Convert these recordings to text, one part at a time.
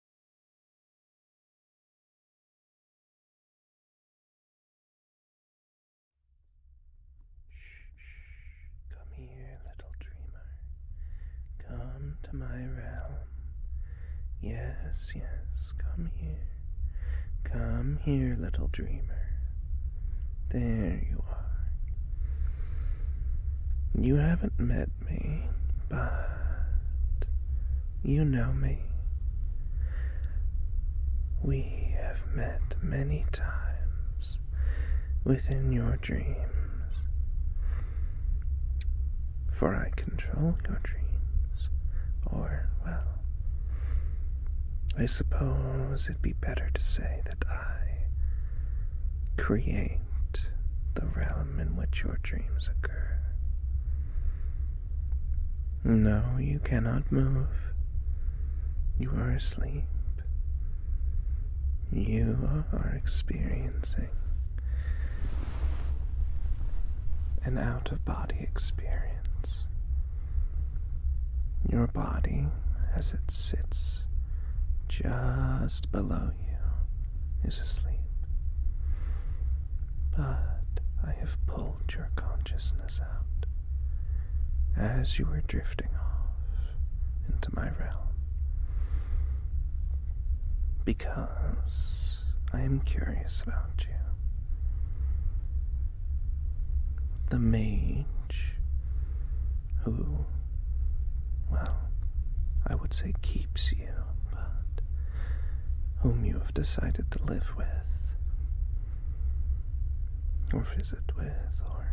Shh, come here, little dreamer. Come to my realm. Yes, yes, come here. Come here, little dreamer. There you are. You haven't met me, but you know me. We have met many times within your dreams, for I control your dreams, or, well, I suppose it'd be better to say that I create the realm in which your dreams occur. No, you cannot move. You are asleep. You are experiencing an out of body experience. Your body, as it sits just below you is asleep. But I have pulled your consciousness out as you were drifting off into my realm. Because I am curious about you. The mage who well, I would say keeps you, but whom you have decided to live with, or visit with, or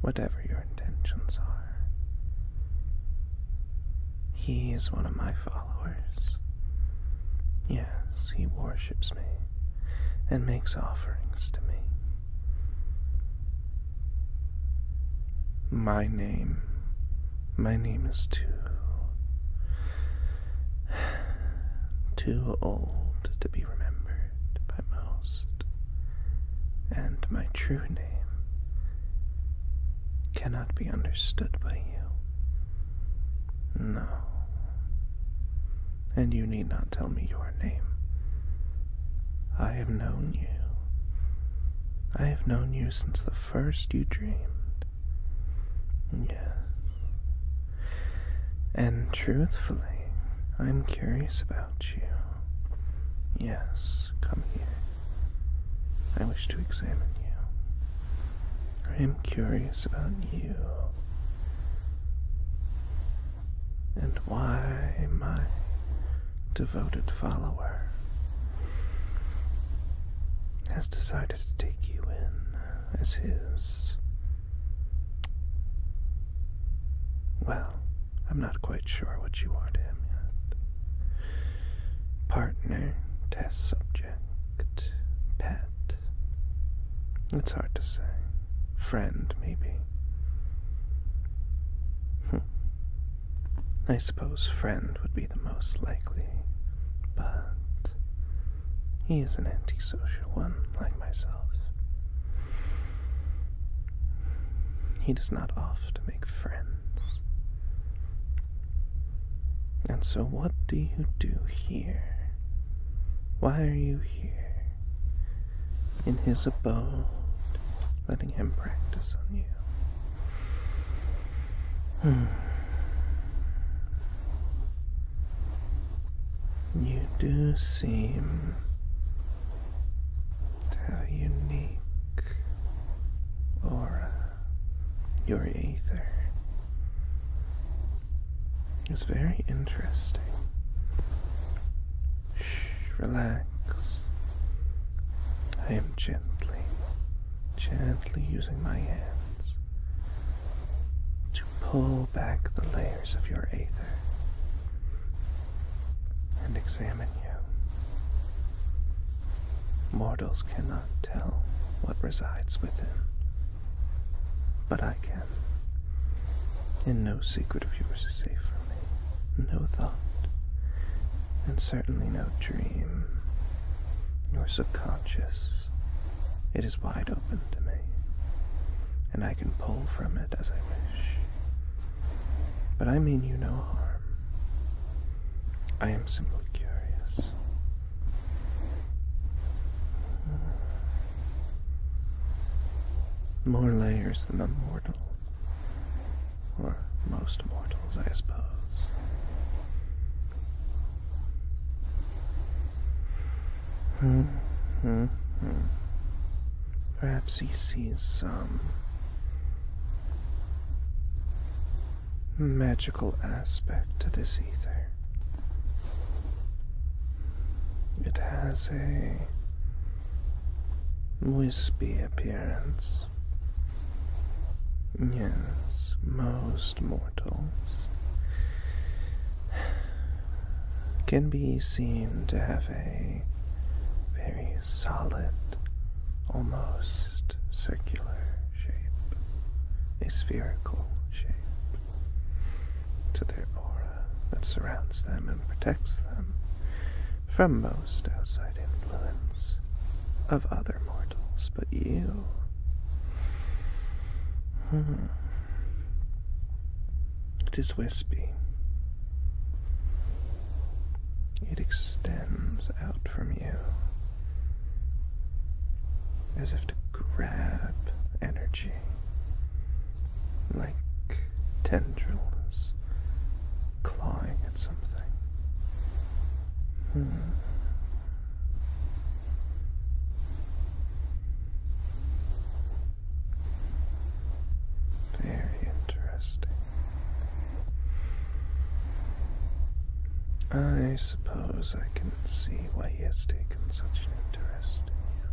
whatever your intentions are. He is one of my followers. Yes, he worships me and makes offerings to me. My name. My name is too. too old to be remembered by most. And my true name cannot be understood by you. No. And you need not tell me your name. I have known you. I have known you since the first you dreamed. Yes. And truthfully, I'm curious about you. Yes, come here. I wish to examine you. I am curious about you and why my devoted follower has decided to take you in as his. Well, I'm not quite sure what you are to him yet. Partner, test subject, pet. It's hard to say. Friend, maybe. Hmm. I suppose friend would be the most likely, but he is an antisocial one like myself. He does not off make friends. And so, what do you do here? Why are you here? in his abode, letting him practice on you. Hmm. You do seem a unique aura. Your ether is very interesting. Shh, relax. I am gently, gently using my hands to pull back the layers of your aether and examine you. Mortals cannot tell what resides within, but I can. And no secret of yours is safe from me. No thought. And certainly no dream. Your subconscious. It is wide open to me. And I can pull from it as I wish. But I mean you no harm. I am simply curious. More layers than a mortal, or most mortals, I suppose. Hmm, hmm, hmm. Perhaps he sees some magical aspect to this ether. It has a wispy appearance. Yes, most mortals can be seen to have a very solid, almost circular shape, a spherical shape to their aura that surrounds them and protects them from most outside influence of other mortals, but you. Hmm, it is wispy. It extends out from you as if to grab energy like tendrils clawing at something. Hmm. Very interesting. I suppose I can see why he has taken such an interest in you.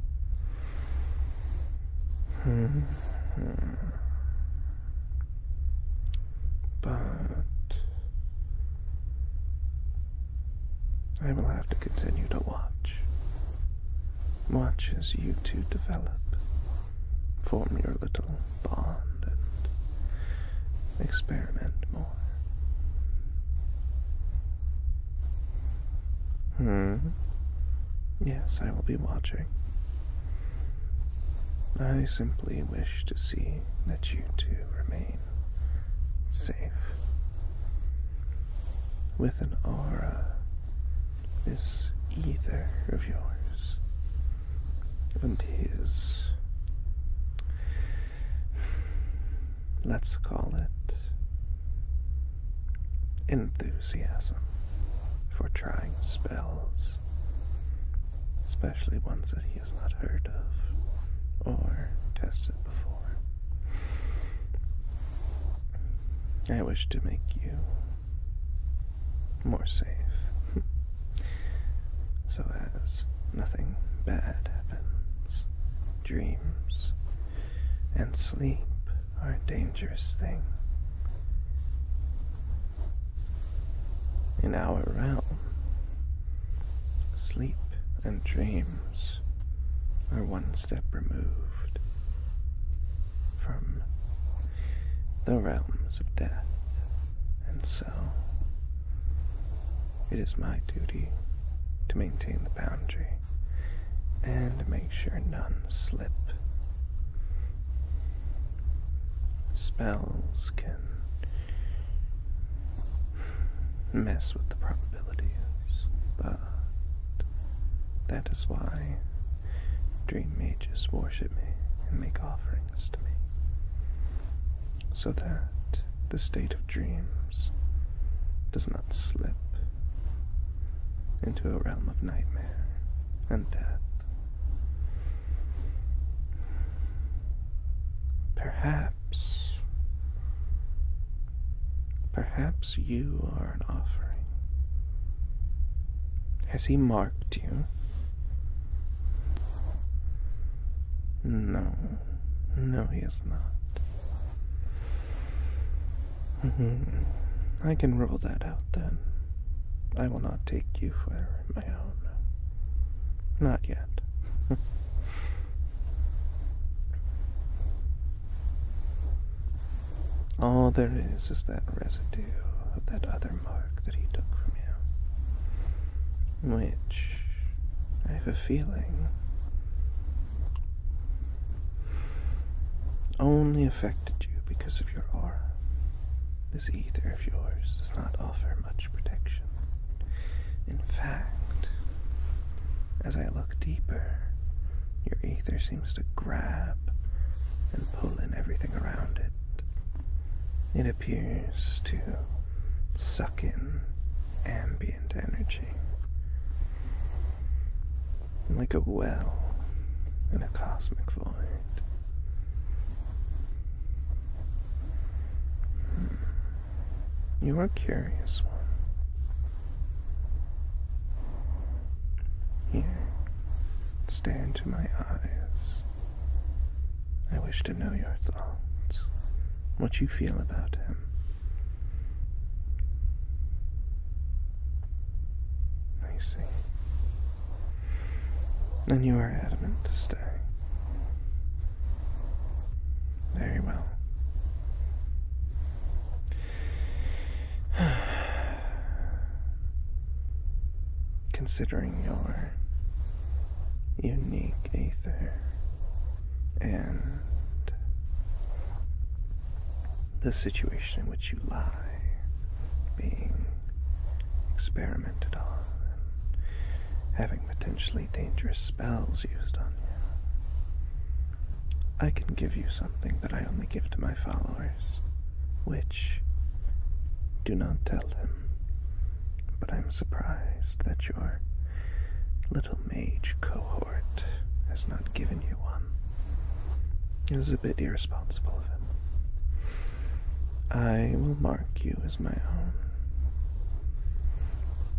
Hmm. but I will have to continue to watch. Watch as you two develop, form your little bond, and experiment more. Hmm. Yes, I will be watching. I simply wish to see that you two remain safe. With an aura, this either of yours and his let's call it enthusiasm for trying spells, especially ones that he has not heard of or tested before. I wish to make you more safe so as nothing bad happens. Dreams and sleep are a dangerous thing. In our realm, sleep and dreams are one step removed from the realms of death, and so it is my duty to maintain the boundary and make sure none slip. Spells can mess with the probabilities, but that is why dream mages worship me and make offerings to me so that the state of dreams does not slip into a realm of nightmare and death. Perhaps, perhaps you are an offering. Has he marked you? No. No, he is not. Mm-hmm. I can rule that out then. I will not take you for my own. Not yet. All there is is that residue of that other mark that he took from you which I have a feeling only affected you because of your aura. This ether of yours does not offer much protection. In fact, as I look deeper, your ether seems to grab and pull in everything around it appears to suck in ambient energy like a well in a cosmic void. Hmm. You are curious Here, stare into my eyes I wish to know your thoughts, what you feel about him. I see. And you are adamant to stay. Very well. Considering your unique and the situation in which you lie being experimented on having potentially dangerous spells used on you. I can give you something that I only give to my followers, which do not tell them. But I'm surprised that your little mage cohort has not given you one. It is a bit irresponsible of him. I will mark you as my own.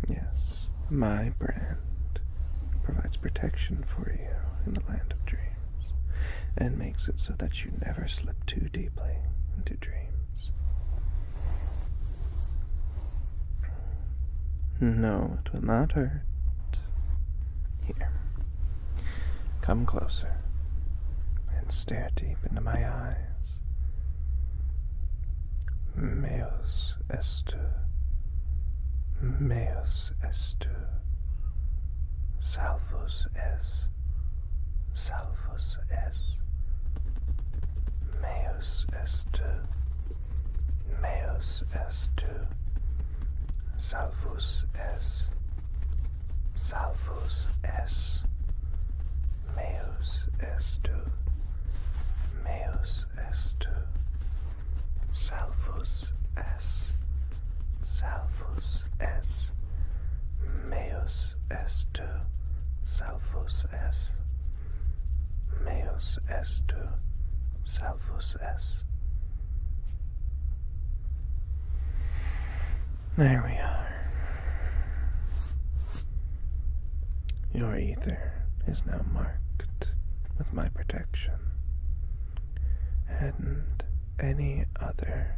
Yes, my brand provides protection for you in the land of dreams and makes it so that you never slip too deeply into. No, it will not hurt. Here, come closer and stare deep into my eyes. Meus estu, meus estu, salvus est. Salvus S. Meus S2. Meus S2. Salvus S. Salvus S. Meus S2. Meus S2. Salvus S. Salvus S. Meos estu salvus es. Meos estu salvus es. There we are. Your ether is now marked with my protection. And any other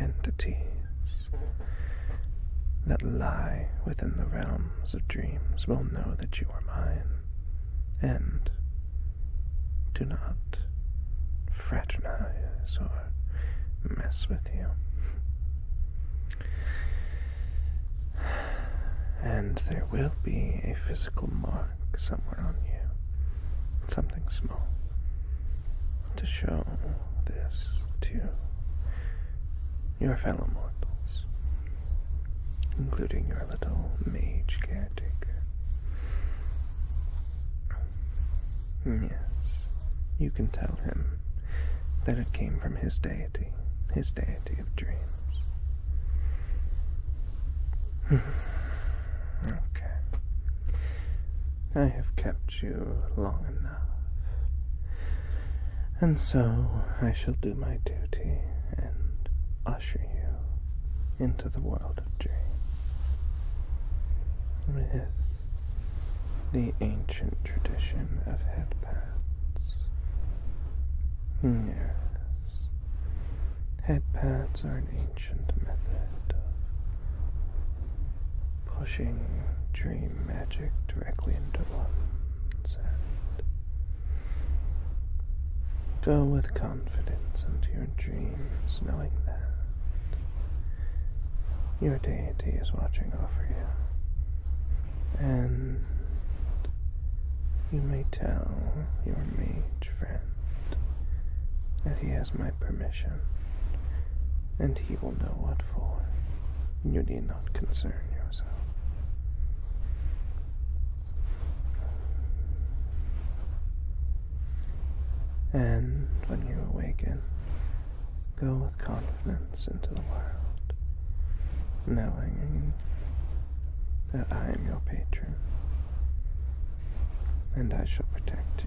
entities that lie within the realms of dreams will know that you are mine, and do not fraternize or mess with you. And there will be a physical mark somewhere on you, something small to show this to your fellow mortals, including your little mage caretaker. Yes, you can tell him that it came from his deity, his deity of dreams. Hmm. okay. I have kept you long enough. And so I shall do my duty and usher you into the world of dreams with the ancient tradition of headpads. Yes, headpats are an ancient method of pushing dream magic directly into one's hand. Go with confidence into your dreams, knowing that your deity is watching over you. And you may tell your mate friend, that he has my permission, and he will know what for. You need not concern yourself. And when you awaken, go with confidence into the world, knowing that I am your patron and I shall protect you.